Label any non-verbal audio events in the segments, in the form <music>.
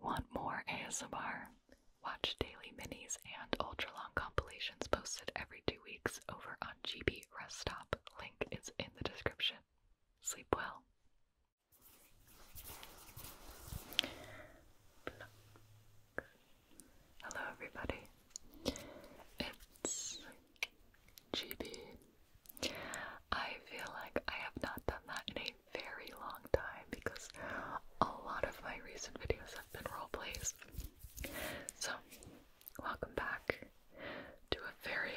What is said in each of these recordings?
Want more ASMR? Watch daily minis and ultra long compilations posted every two weeks over on GB Rest Stop. Link is in the description. Sleep well. Hello, everybody. It's GB. I feel like I have not done that in a very long time because a lot of my recent videos have been role plays. So, welcome back to a very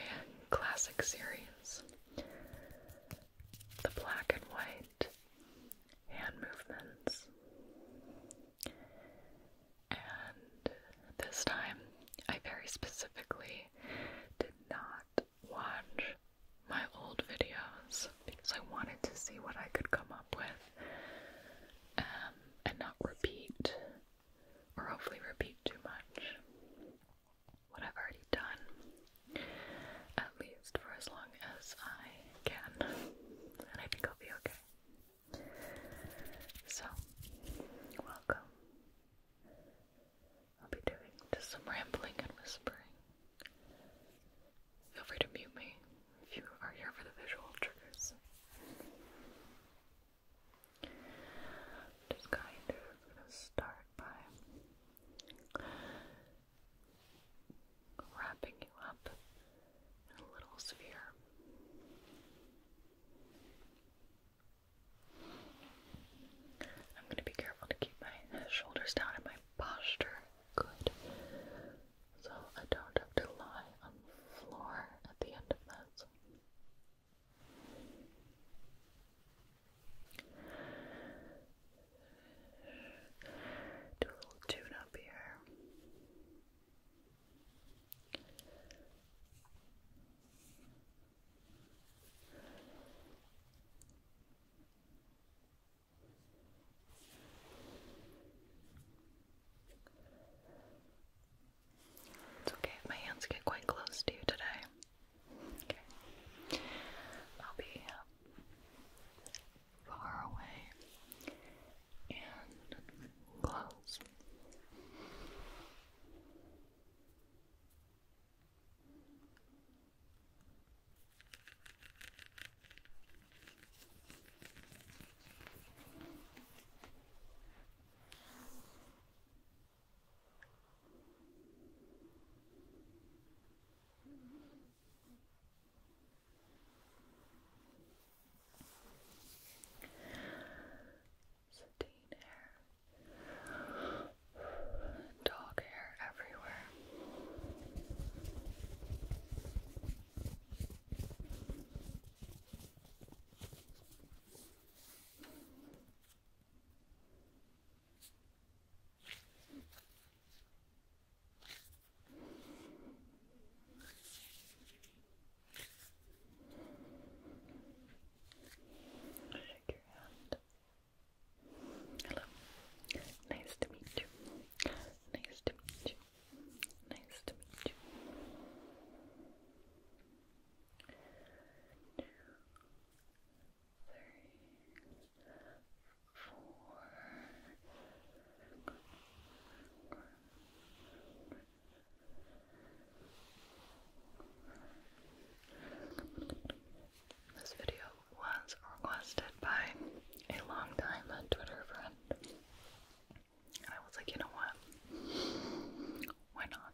classic series. The black and white hand movements. And this time I very specifically did not watch my old videos because I wanted to see what I could come up with um, and not repeat, or hopefully repeat too much, what I've already done, at least for as long as I can, and I think I'll be okay. So, welcome. I'll be doing just some rambling and whispering. Feel free to mute me if you are here for the visual triggers. Just kind of start by wrapping you up in a little sphere. I'm going to be careful to keep my shoulders down and my posture good so I don't have to lie on the floor at the end of this. Do a little tune up here. It's okay my hands get quite close to you today. Okay. I'll be uh, far away and close. Satine hair Dog hair everywhere. Shake your hand. Hello. Nice to meet you. Nice to meet you. Nice to meet you. Two, three, four. This video was requested by a long time Twitter friend. I was like, you know what? Why not?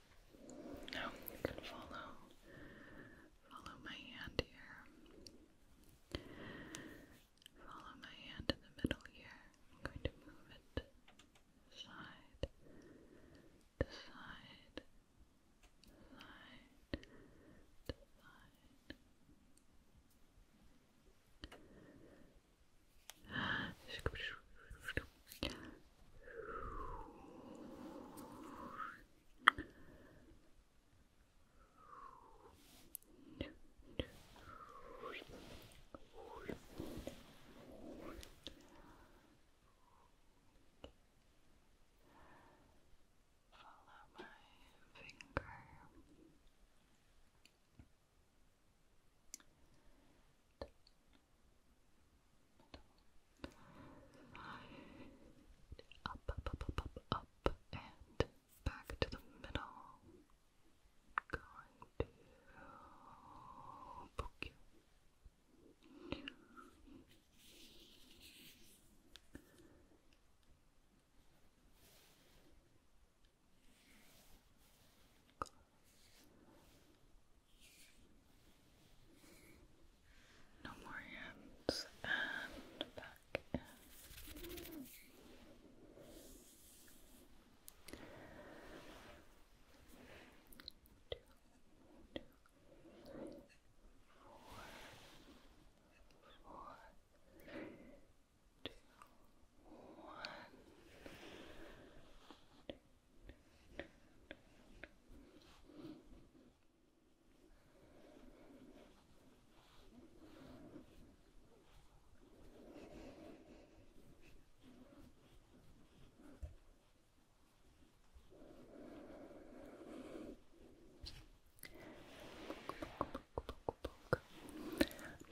Now you can follow follow my hand here. Follow my hand to the middle here. I'm going to move it side to side, side to side. <sighs> Follow my finger. Up, up, up, up, up, and back to the middle. Going to poke you. No more hands and back in. Two, two, three, four, four, two, one, two, I'm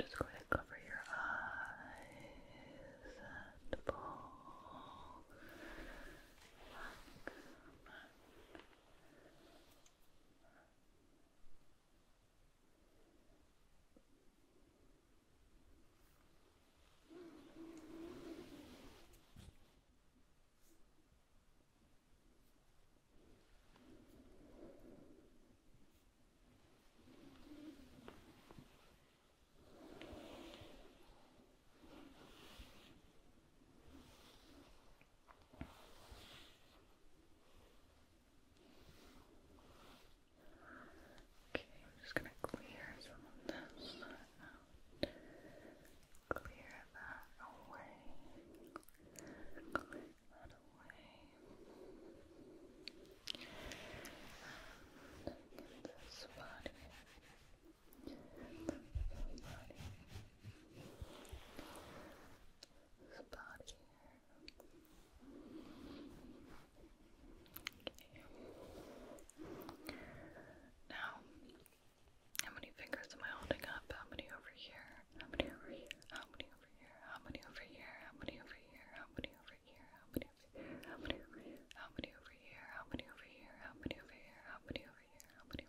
just going cover your eyes and pull. Okay, I'm just going to clear some of this Clear that away. Clear that away the body. The body. The body okay. Now, how many fingers am I holding up? How many over here? How many over here? How many over here? How many over here? How many over here? How many over here? How many over here? How many How many over here? How many over here? How many over here? How many over here? How many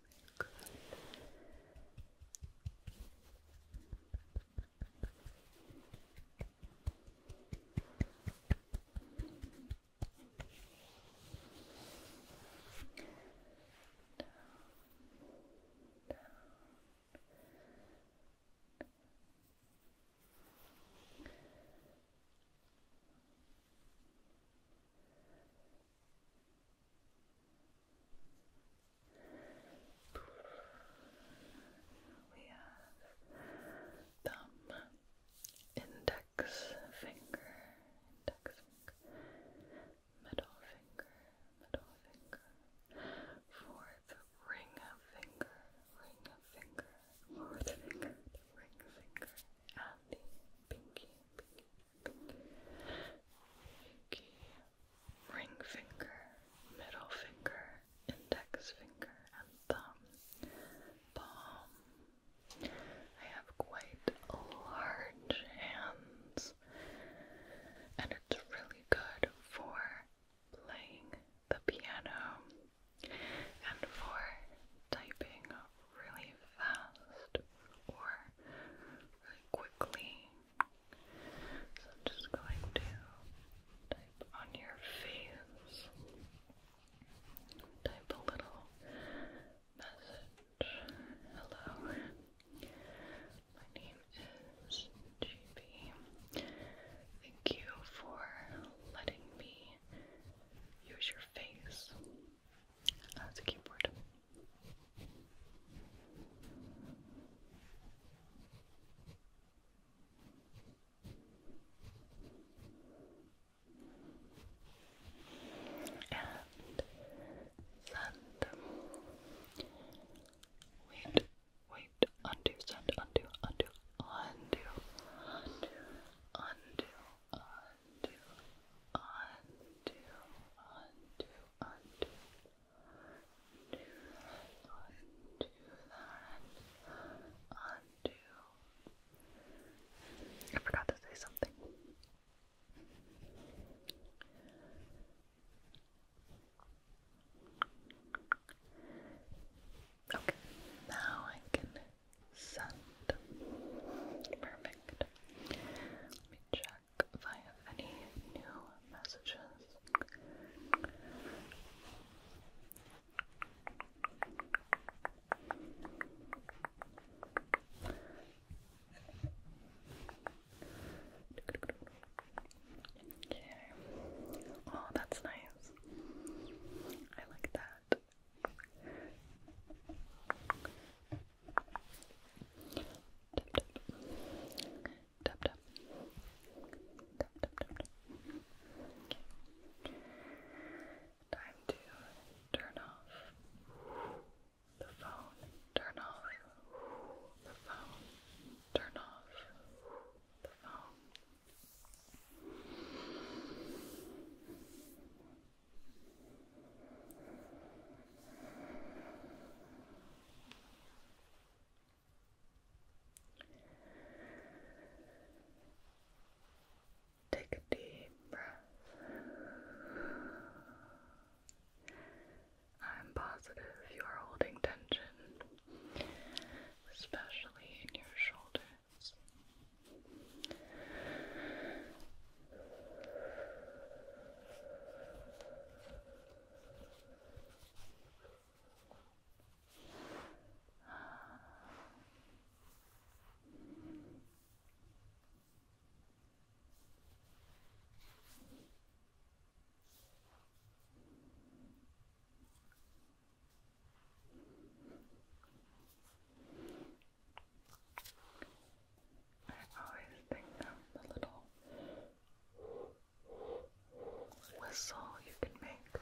we have thumb, index finger, index finger, middle finger, middle finger, fourth ring finger, ring finger, or finger, ring finger, and pinky, pinky, pinky, ring finger, middle finger, index finger, and thumb, palm. I have quite large hands, and it's really good for playing the piano and for typing really fast or quickly. So I'm just going to type on your face, type a little message. Hello, my name is GB. Thank you for letting me use your face as a keyboard. And send. Wait wait, undo, undo, undo, undo, undo, undo, undo, undo, undo, undo, undo, undo. I forgot to say something. Okay, now I can send. Perfect. Let me check if I have any new messages. Okay. Oh, that's nice. I like that. Tap tap. Tap tap tap tap. Okay. Time to turn off the phone. Turn off the phone. Turn off the phone. Take a deep breath. I'm positive you are holding tension especially in your shoulders. I always think of the little whistle you can make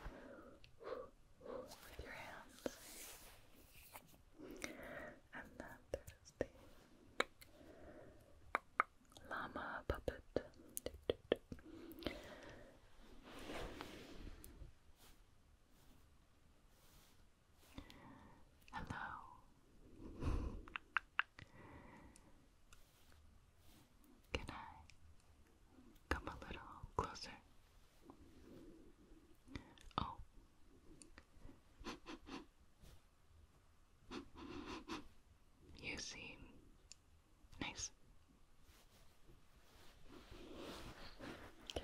with your hands. And then there's the llama puppet. Hello. Can I come a little closer? Oh. <laughs> You seem Nice. Okay.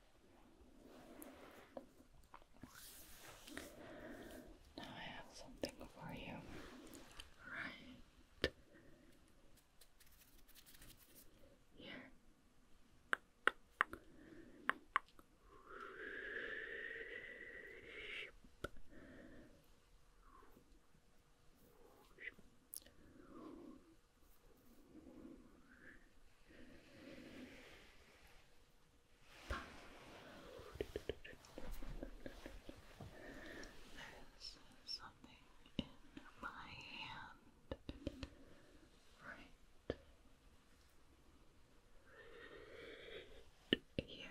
Now I have something for you. Right here. There's something in my hand. Right. Here.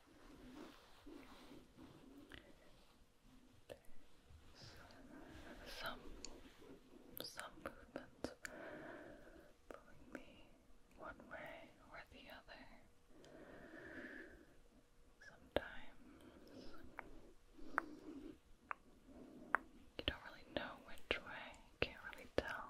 some some movements pulling me one way or the other. Sometimes you don't really know which way. can't really tell.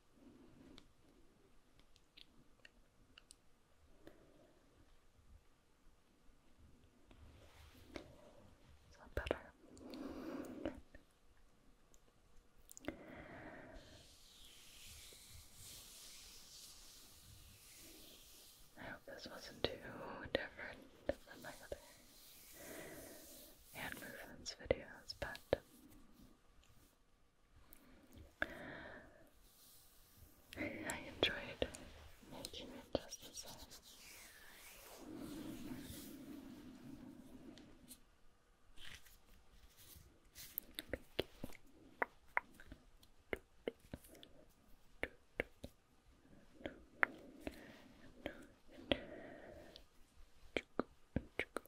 Is better? I hope this wasn't too different from my other hand videos, but I enjoyed making it just the same. Thank you.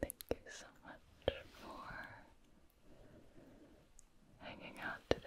Thank you so much for hanging out today.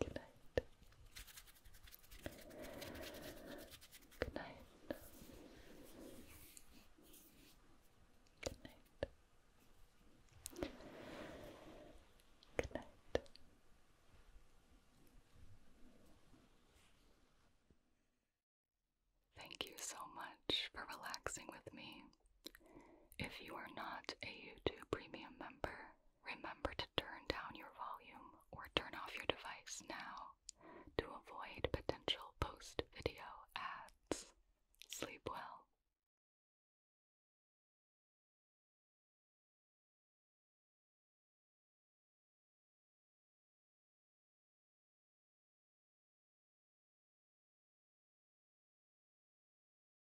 Good night. Good night. Good night. Good night. Thank you so much for relaxing with me. If you are not a YouTube Premium member, Remember to turn down your volume or turn off your device now to avoid potential post video ads. Sleep well.